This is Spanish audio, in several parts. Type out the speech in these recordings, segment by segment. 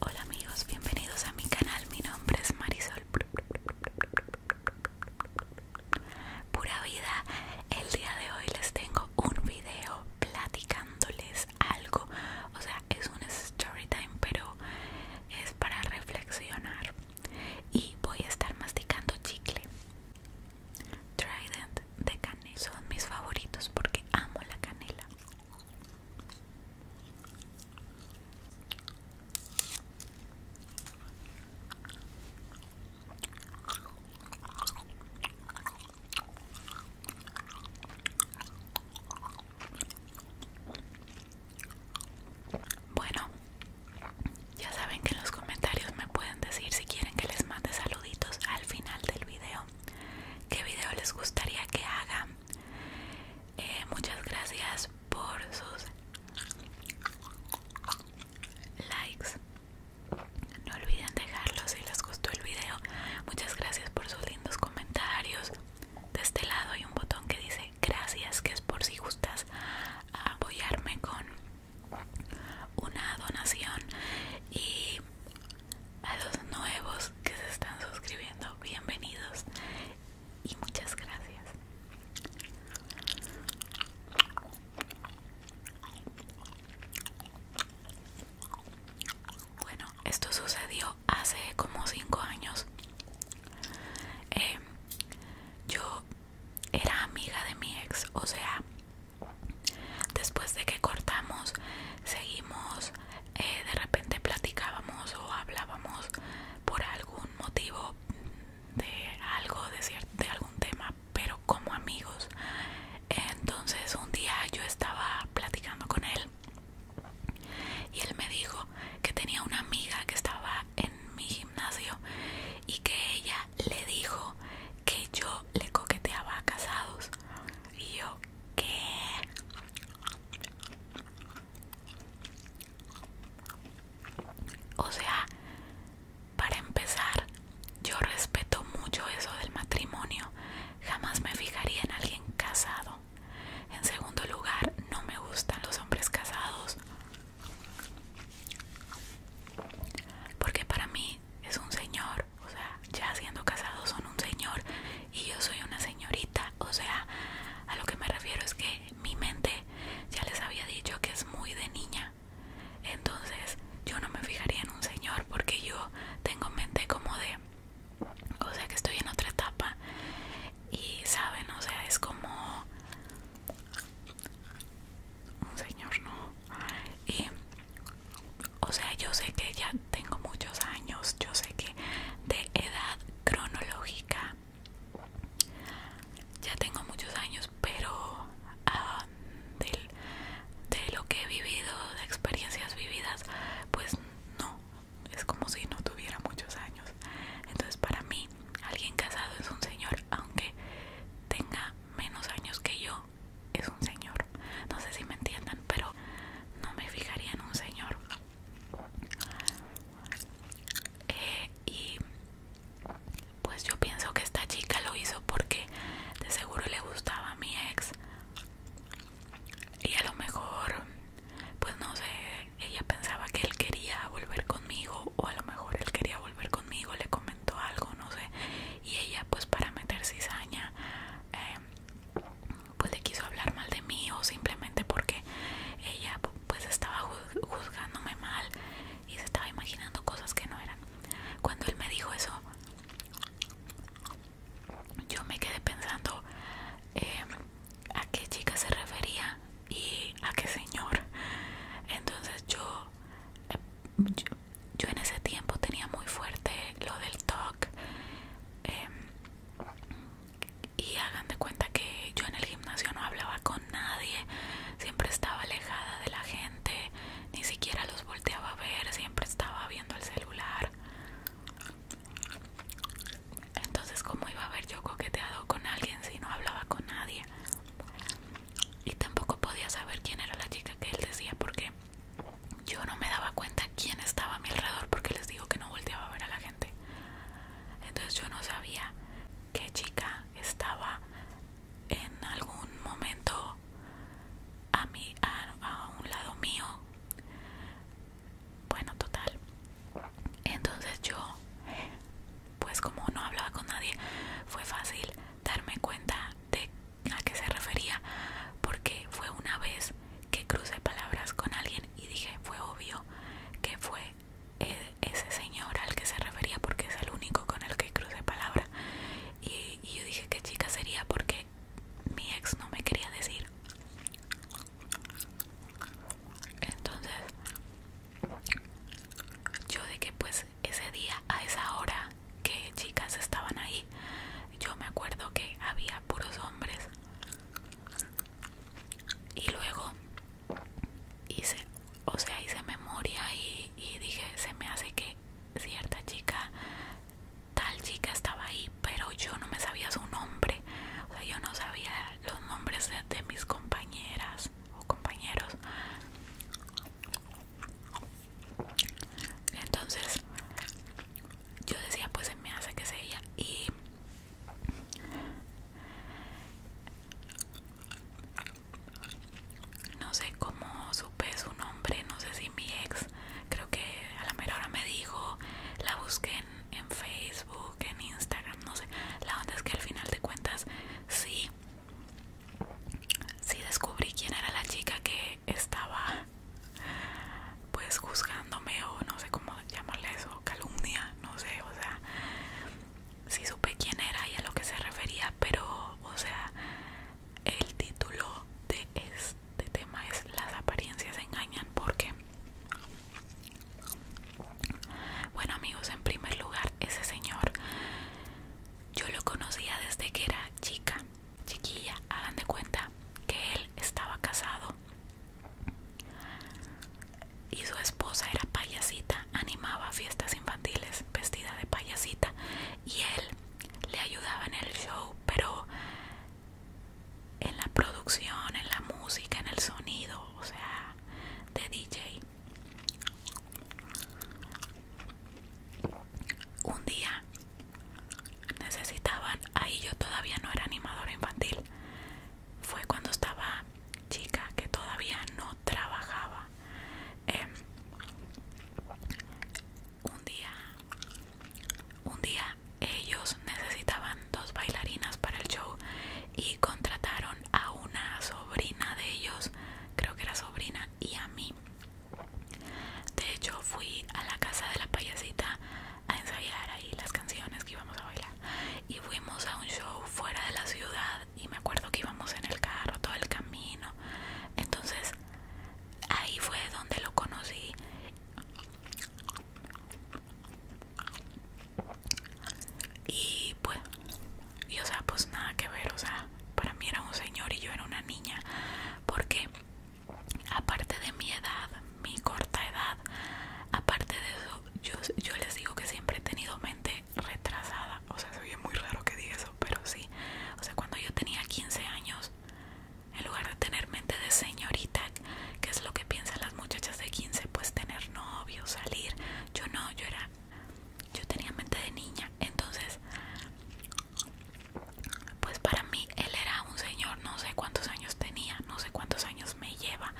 Hola amigos, bienvenidos a mi canal. Mi nombre es Marisol. Pura vida. El día de hoy les tengo un video platicándoles algo. O sea, es un story time, pero es para reflexionar. Y voy a estar masticando chicle. Trident de canela son mis favoritos porque amo la canela. Bueno, ya saben que en los comentarios me pueden decir si quieren que les mande saluditos al final del video qué video les gustaría que haga. Eh, muchas gracias por sus likes. No olviden dejarlo si les gustó el video. Muchas gracias por sus lindos comentarios. De este lado hay un botón que dice gracias, que es por si gustas apoyarme con una donación. Y a los nuevos que se están suscribiendo, bienvenidos y muchas gracias. Bueno, esto sucedió hace como 5 años. Em, yo era amiga de mi ex, o sea, Después de que cortamos, seguimos, eh, de repente platicábamos o hablábamos por algún motivo de algo, de, cierto, de algún tema, pero como amigos. Entonces un día yo estaba platicando con él y él me dijo que tenía una amiga que estaba en mi gimnasio y que ella le dijo que yo le coqueteaba a casados yo, ¿qué? O sea, para empezar, yo respeto mucho eso del matrimonio. Jamás me fijaría en alguien casado. En segundo lugar, no me gustan los hombres casados. Porque para mí es un señor, o sea, ya siendo casados son un señor y yo soy una señorita, o sea, a lo que me refiero es que mi mente ya les había dicho que es muy de niña, entonces yo no me fijaría en un señor porque yo tengo mente como de, o sea, que estoy en otra etapa y saben, o sea, es como un señor, ¿no? Y o sea, yo sé que ya tengo muchos años, yo sé que de edad cronológica ya tengo muchos años, pero ah, de lo que he vivido, de experiencias vividas, pues no, es como si no tuviera muchos años. Entonces para mí, alguien casado es un señor, aunque tenga menos años que yo, es un señor. No sé si me entiendan, pero no me fijaría en un señor. Eh, y pues yo pienso que esta chica lo hizo porque de seguro le gustaba a mi ex. Y a lo mejor, pues no sé, ella pensaba que él quería volver conmigo o a lo mejor él quería volver conmigo, le comentó algo, no sé. Y ella pues para meter cizaña Em, pues le quiso hablar mal de mí o simplemente porque ella pues estaba juzgándome mal y se estaba imaginando cosas que no eran. Cuando él me dijo eso, yo me quedé pensando em, a qué chica se refería y a qué señor. Entonces yo em, yo en ese tiempo tenía muy fuerte lo del talk em, y hagan de cuenta que yo en el gimnasio no hablaba con nadie, siempre estaba alejada de la gente, ni siquiera los volteaba a ver, siempre estaba viendo el celular. Entonces, ¿cómo iba a haber yo coqueteado con alguien si no hablaba con nadie? Y tampoco podía saber quién era la chica que él decía porque yo no me daba cuenta quién estaba a mi alrededor porque les digo que no volteaba a ver a la gente. Entonces yo no sabía qué chica estaba en algún momento a, mi un lado mío. Bueno, total. Entonces yo, pues como no hablaba con nadie, fue fácil darme cuenta de a qué se refería porque fue una vez que crucé palabras con alguien y dije fue obvio que fue e, ese señor al que se refería porque es el único con el que crucé palabra y, y yo dije qué chica sería porque mi ex no me quería decir entonces yo de que pues ese día a esa hora que chicas estaban ahí. Yo me acuerdo que había puros hombres. Y luego hice, o sea, hice memoria y, dije, se me hace que cierta chica, tal chica estaba ahí, pero yo no me sabía su nombre. O sea, yo no sabía los nombres de mis compañeras o compañeros. Entonces yo decía, pues se me hace que se ella. Y no sé cómo supe su nombre, no sé si mi ex, creo que a la mejor hora me dijo, la busqué en, en Facebook, en Instagram, no sé. La onda es que al final de cuentas sí, sí descubrí quién era la chica que estaba pues juzgándome o no sé cómo llamarle eso, calumnia, no sé, o sea, si supe quién era y a lo que se refería, pero o sea, el título de este tema es Las apariencias engañan porque bueno amigos, en primer lugar, ese señor yo lo conocía desde que era chica chiquilla, hagan de cuenta que él estaba casado y su esposa era payasita, animaba fiestas infantiles vestida de payasita y él le ayudaba en el show, pero en la producción, en la música, en el sonido, o sea, de DJ. Un día necesitaban, ahí yo todavía no era animadora infantil, fue cuando estaba chica que todavía no trabajaba. Em, un día, un día ellos necesitaban dos bailarinas para el show y contrataron a una sobrina de ellos, creo que era sobrina, y a mí de hecho fui a la casa de la payasita a ensayar ahí las canciones que íbamos a bailar y fuimos a un show fuera de la ciudad y me acuerdo que íbamos en el carro todo el camino. Entonces ahí fue donde lo conocí. Y pues, y o sea, pues nada que ver, o sea, para mí era un señor y yo era una niña, porque aparte de mi edad, mi corta edad, aparte de eso, yo, les digo que siempre he tenido mente retrasada. O sea, se muy raro que diga eso, pero sí. O sea, cuando yo tenía 15 años, en lugar de tener mente de señorita, que es lo que piensan las muchachas de 15, pues tener novio, salir. Yo no, yo era. Yo tenía mente de niña. Entonces, pues para mí él era un señor, no sé cuántos años tenía, no sé cuántos años me lleva,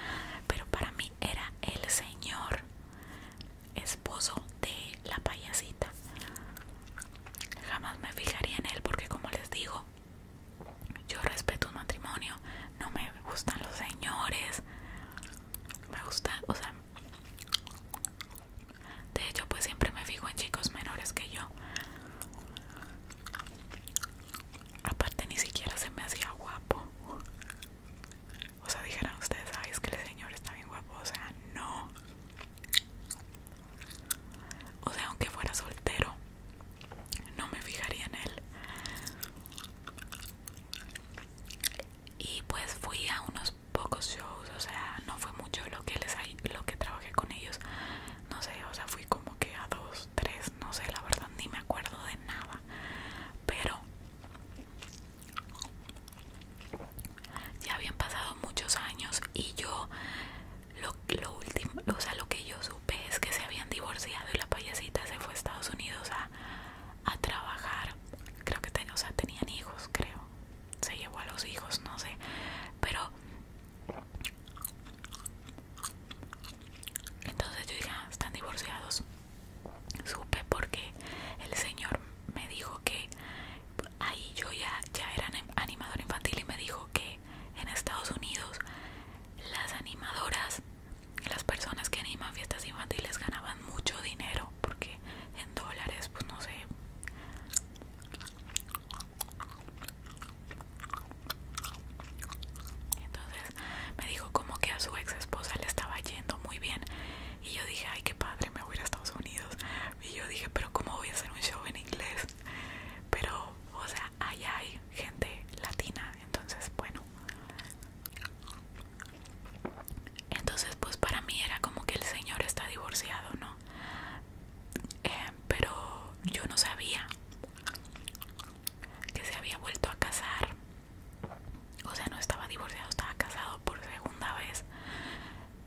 pero para mí era el señor esposo de la payasita. Jamás me fijaría en él porque como les digo, yo respeto un matrimonio, no me gustan los señores, me gusta, o sea, de hecho pues siempre me fijo en chicos menores que yo Aparte ni siquiera se me hacía guapo. O sea, dijeran ustedes, ay, es que el señor está bien guapo. O sea, no. O sea, aunque fuera soltero, no me fijaría en él. Y pues fui a unos pocos shows, o sea, no fue mucho lo que les lo que trabajé con ellos, no sé, o sea, fui como que a dos, tres, no sé, la verdad ni me acuerdo de nada. Pero ya habían pasado muchos años y yo lo, lo último, o sea, lo que yo supe es que se habían divorciado y la payasita se fue a Estados Unidos a, a trabajar. Creo que o sea, tenían hijos, creo. Se llevó a los hijos, no sé. Pero entonces yo dije, están divorciados. Supe porque el señor me dijo que ahí yo ya, ya era animador infantil y me dijo que en Estados Unidos las animadoras, las personas que animan fiestas infantiles ganaban mucho dinero porque en dólares, pues no sé. Entonces me dijo como que a su ex esposa le estaba yendo muy bien y yo dije, ay, qué padre, me voy a ir a Estados Unidos. Y yo dije, pero ¿cómo voy a hacer un show en inglés? Pero, o sea, allá hay gente latina, entonces, bueno. Entonces, pues para mí era como que el señor está divorciado, ¿no? eh, pero yo no sabía que se había vuelto a casar o sea no estaba divorciado estaba casado por segunda vez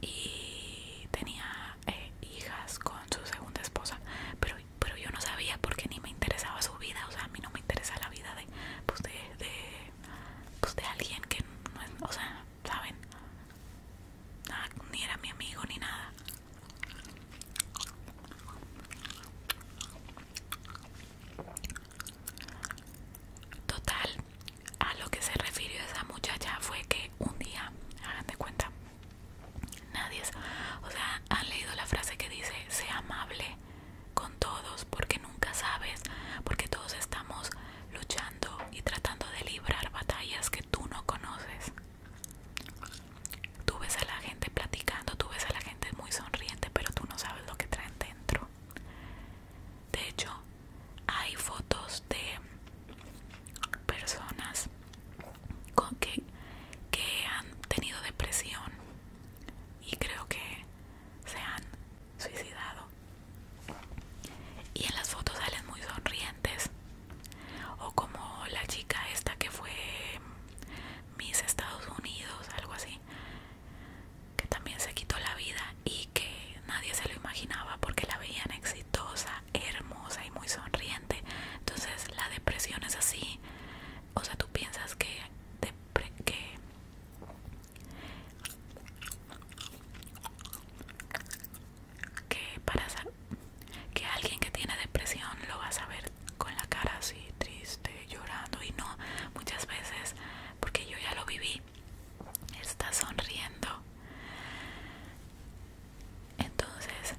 y tenía eh, hijas con su segunda esposa pero pero yo no sabía porque ni me interesaba su vida o sea a mí no me interesa la vida de pues de, de pues de alguien que no es o sea saben Ah, ni era mi amigo ni nada. Total, a lo que se refirió esa muchacha fue que un día, hagan de cuenta, nadie, o sea, han leído la frase que dice, sea amable con todos porque nunca sabes, porque todos estamos luchando y tratando de librar batallas que tú no conoces. Tú ves a la gente platicando, tú ves a la gente muy sonriente, pero tú no sabes lo que traen dentro. De hecho, hay fotos de personas que, que han tenido depresión y creo que se han suicidado. Y en las fotos salen muy sonrientes o como la chica esta que fue Miss Estados Unidos, algo así, que también se quitó la vida y que nadie se lo imaginaba porque la veían exitosa, hermosa y muy sonriente. Entonces la depresión es así, o sea, tú piensas que... que que para, que alguien que tiene depresión lo vas a ver con la cara así triste, llorando y no, muchas veces, porque yo ya lo viví, está sonriendo. Entonces,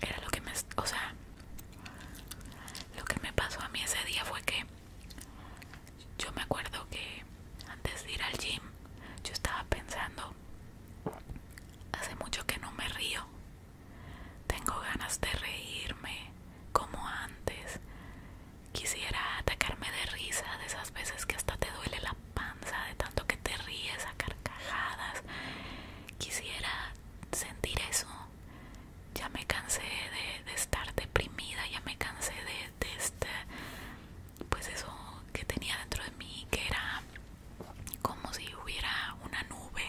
era lo que me, o sea, lo que me pasó a mí ese día fue que yo me acuerdo que antes de ir al gym yo estaba pensando, hace mucho que no me río, tengo ganas de reírme como antes, quisiera atacarme de risa de esas veces que hasta te duele la panza de tanto que te ríes a carcajadas, quisiera sentir eso, ya me cansé de, estar deprimida, ya me cansé de, estar... este pues eso que tenía dentro de mí que era como si hubiera una nube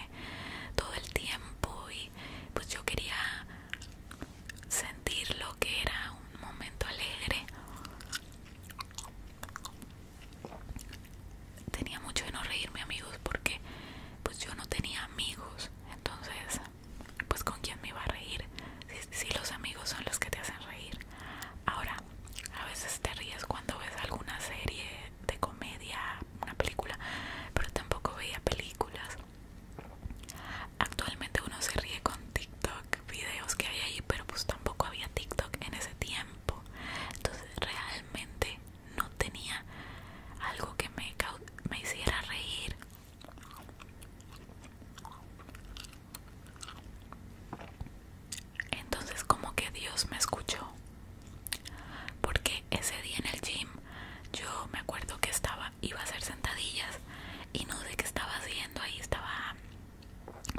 todo el tiempo y pues yo quería sentir lo que era un momento alegre tenía mucho de no reírme amigos porque pues yo no tenía amigos entonces pues con quién me iba a reír si los amigos son los que te hacen reír Ahora, a veces te ríes cuando ves alguna serie de comedia, una película, pero tampoco veía películas. Actualmente uno se ríe con TikTok, videos que hay ahí, pero pues tampoco había TikTok en ese tiempo. Entonces realmente no tenía algo que me, me hiciera reír. Entonces como que Dios me escuchó. Porque ese día en el gym yo me acuerdo que estaba, iba a hacer sentadillas y no sé qué estaba haciendo ahí, estaba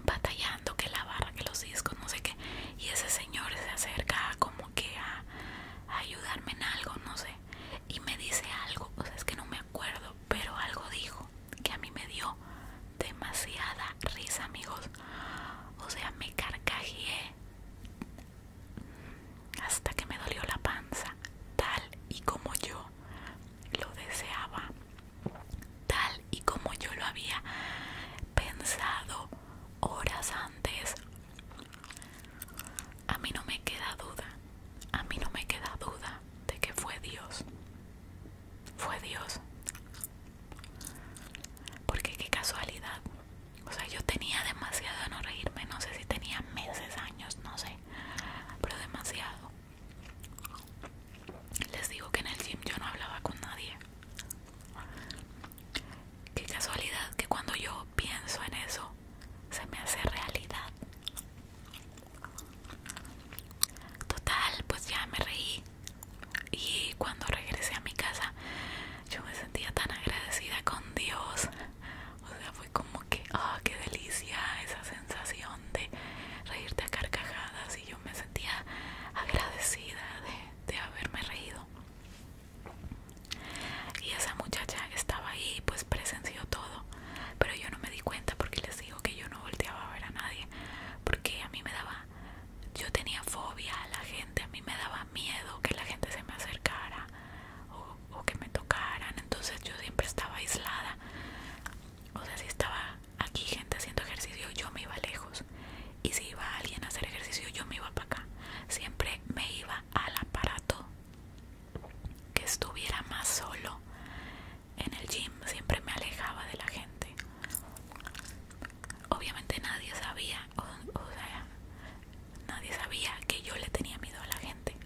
batallando que la barra, que los discos, no sé qué. Y ese señor se acerca como que a, a ayudarme en algo, no sé. Y me dice algo, o sea, es que no me acuerdo, pero algo dijo que a mí me dio demasiada risa amigos o sea me carcajeé hasta que me dolió la panza tal y como yo lo deseaba tal y como yo lo había pensado horas antes a mí no me queda duda a mí no me queda duda de que fue Dios fue Dios. Porque qué casualidad. O sea, yo tenía demasiado de no reírme, no sé si tenía meses, años, no sé, pero demasiado. Les digo que en el gym yo no hablaba con nadie. Qué casualidad que cuando yo pienso en eso, se me hace realidad. Total, pues ya me reí. Y cuando regresé a mi casa, yo me sentía tan agradecida con Dios. O sea, fue como que, oh, qué delicia esa sensación de reírte a carcajadas. Y yo me sentía agradecida de, haberme reído. Y esa muchacha estaba ahí, pues presenció todo. Pero yo no me di cuenta porque les digo que yo no volteaba a ver a nadie. Porque a mí me daba, yo tenía fobia a la gente, a mí me daba miedo que la gente se me acercara o que me tocaran, entonces yo siempre estaba aislada. O sea, si estaba aquí gente haciendo ejercicio, yo me iba lejos. Y si iba alguien a hacer ejercicio, yo me iba para acá. Siempre me iba al aparato que estuviera más solo en el gym siempre me alejaba de la gente. Obviamente nadie sabía, sea, nadie sabía que yo le tenía miedo a la gente.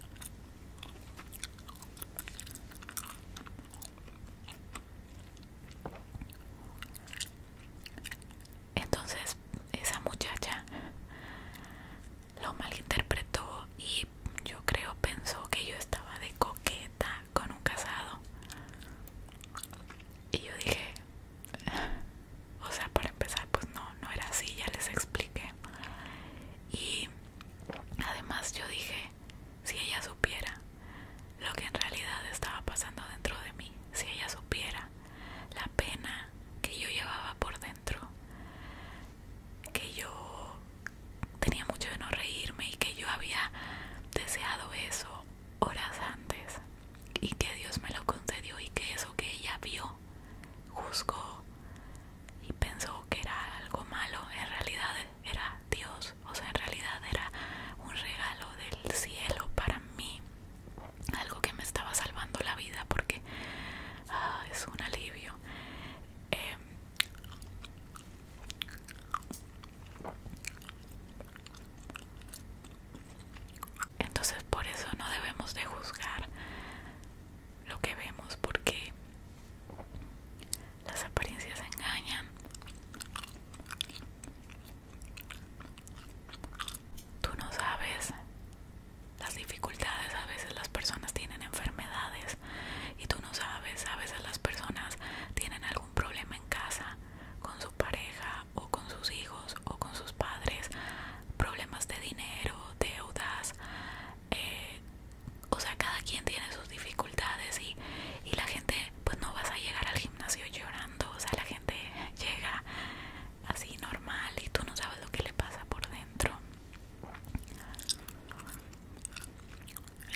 Entonces esa muchacha lo malinterpretó y yo creo pensó que yo estaba de coqueta con un casado. Y yo dije, o sea, para empezar, pues no, no era así, ya les expliqué. Y además yo dije, si ella supiera lo que en realidad estaba pasando dentro de mí, si ella supiera la pena que yo llevaba por dentro, que yo tenía mucho de no reírme y que yo había deseado eso horas antes y que Dios me lo concedió y que eso que ella vio, juzgó y pensó que era algo malo, en realidad era Dios, o sea, en realidad era un regalo del cielo para mí, algo que me estaba salvando la vida porque ah, es un alivio. Em, entonces por eso no debemos de juzgar lo que vemos porque las apariencias engañan. Tú no sabes las dificultades, a veces las personas tienen enfermedades y tú no sabes, a veces las personas tienen algún problema en casa con su pareja o con sus hijos o con sus padres, problemas de dinero, deudas, eh, o sea, cada quien tiene sus dificultades y la gente, pues no vas a llegar al gimnasio llorando, o sea, la gente llega así normal y tú no sabes lo que le pasa por dentro.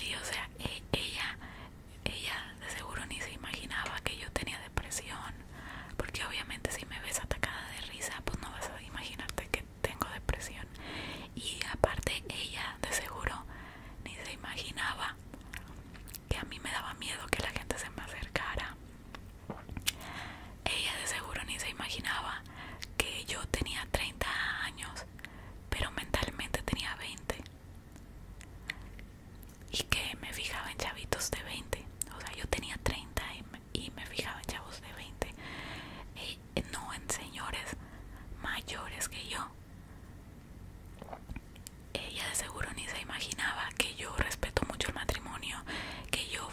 Y o sea, e, ella, ella de seguro ni se imaginaba que yo tenía depresión, porque obviamente si me ves atacada de risa, pues no vas a imaginarte que tengo depresión. Y aparte ella de seguro ni se imaginaba que a mí me daba miedo que la gente se me acercara. Ella de seguro ni se imaginaba que yo tenía 30 años pero mentalmente tenía 20. Y que me fijaba en chavitos de 20. O sea, yo tenía 30 y me fijaba en chavos de 20. E, eh, no en señores mayores que yo. Ella de seguro ni se imaginaba que yo respeto mucho el matrimonio, que yo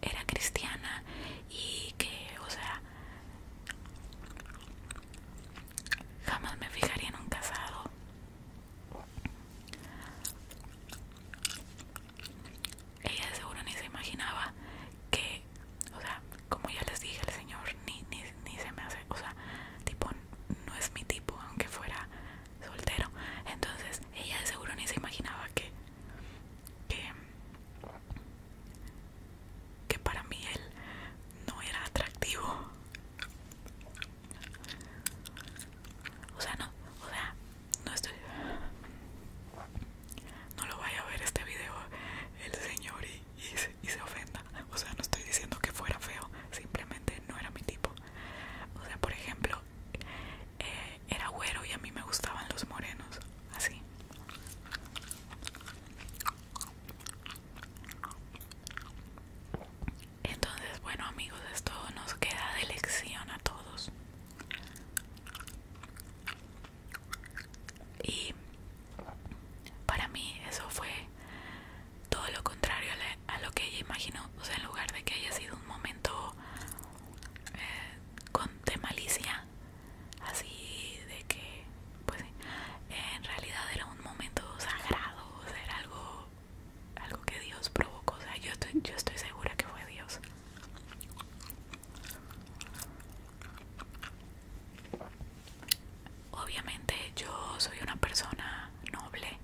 era cristiana y que, o sea, Jamás me fijaría en un casado. Ella de seguro ni se imaginaba que, o sea, como ya les dije el señor, ni, ni, ni se me hace, o sea, tipo, no es mi tipo, aunque fuera soltero. Entonces, ella de seguro ni se imaginaba que, que, que para mí él no era atractivo. O sea, no, o sea, no estoy. No lo vaya a ver este video el señor y, se, ofenda. O sea, no estoy diciendo que fuera feo, simplemente no era mi tipo. O sea, por ejemplo, eh, era güero y a mí me gustaban los morenos, así. Entonces, bueno amigos, esto nos queda de lección a todos. Y para mí eso fue todo lo contrario a lo que ella imaginó. O sea, en lugar de que haya sido un momento eh, con de malicia, así de que pues sí, en realidad era un momento sagrado, era algo, algo que Dios provocó, o sea, yo estoy, yo estoy segura que fue Dios. Obviamente yo soy una persona noble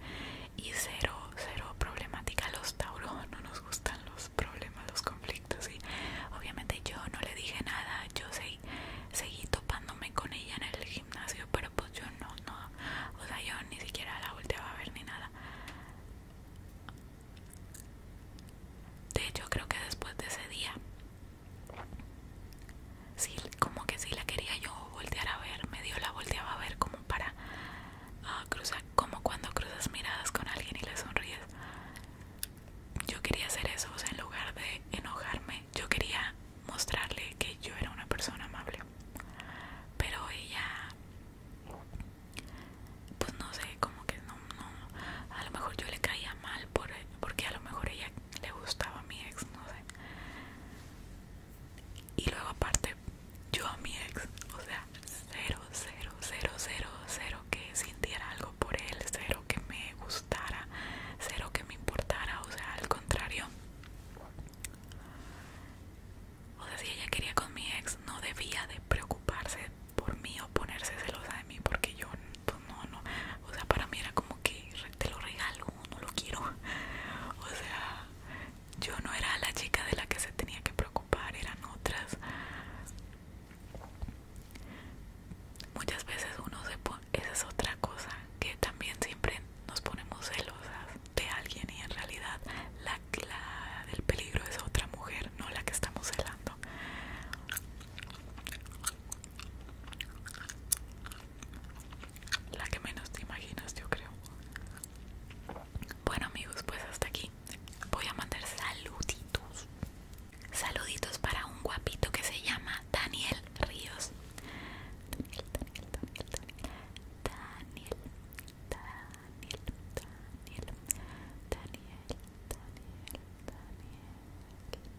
y cero, cero problemática. Los Tauro no nos gustan los problemas, los conflictos y obviamente yo no le dije nada, yo seguí seguí topándome con ella en el gimnasio, pero pues yo no, no, o sea, yo ni siquiera la volteaba a ver ni nada. De hecho, creo que después de ese día, sí, como que sí la quería yo voltear a ver, Me dio la volteaba a ver como para ah, cruzar, como cuando cruzas miradas con alguien y le sonríes. Yo quería hacer eso, o sea, en lugar de enojarme, yo quería mostrarle que yo era una persona amable. Pero ella, pues no sé, como que no, no, a lo mejor yo le caía mal por, porque a lo mejor ella le gustaba a mi ex, no sé. Y luego aparte, yo a mi ex, o sea, cero, cero, cero, cero, cero que sintiera algo por él, cero que me gustara cero que me importara, o sea, al contrario. O sea, si ella quería con mi ex, no debía de preocuparse por mí o ponerse celosa de mí, porque yo, pues, no, no. O sea, para mí era como que te lo regalo, no lo quiero. O sea, yo no era la chica de la que se tenía que preocupar, eran otras. Muchas veces uno se, pone esa es otra cosa que también siempre nos ponemos celosas de alguien y en realidad la, del peligro es otra mujer, no la que estamos celando. La que menos te imaginas, yo creo. Bueno amigos, pues hasta aquí. Voy a mandar saluditos. Saluditos para un guapito que se llama Daniel Ríos. Daniel, Daniel, Daniel, Daniel, Daniel, Daniel, Daniel, Daniel,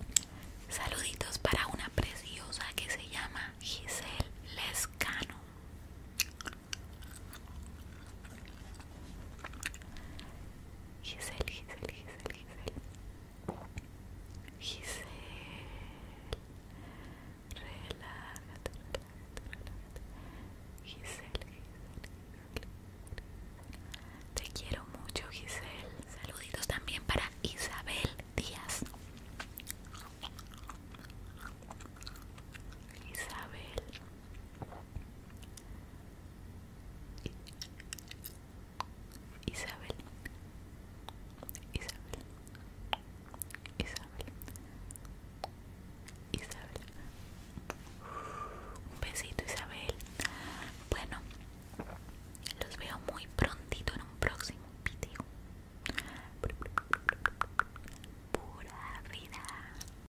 Daniel. Saluditos para una preciosa que se llama Giselle Lescano. Giselle, Giselle, Giselle, Giselle. Giselle. Relájate, relájate, relájate. Giselle, Giselle, Giselle. Te quiero mucho, Giselle. Saluditos también para Isabel Díaz. Isabel. Isabel Isabel Isabel Isabel Un besito Isabel Bueno Los veo muy prontito en un próximo video Pura vida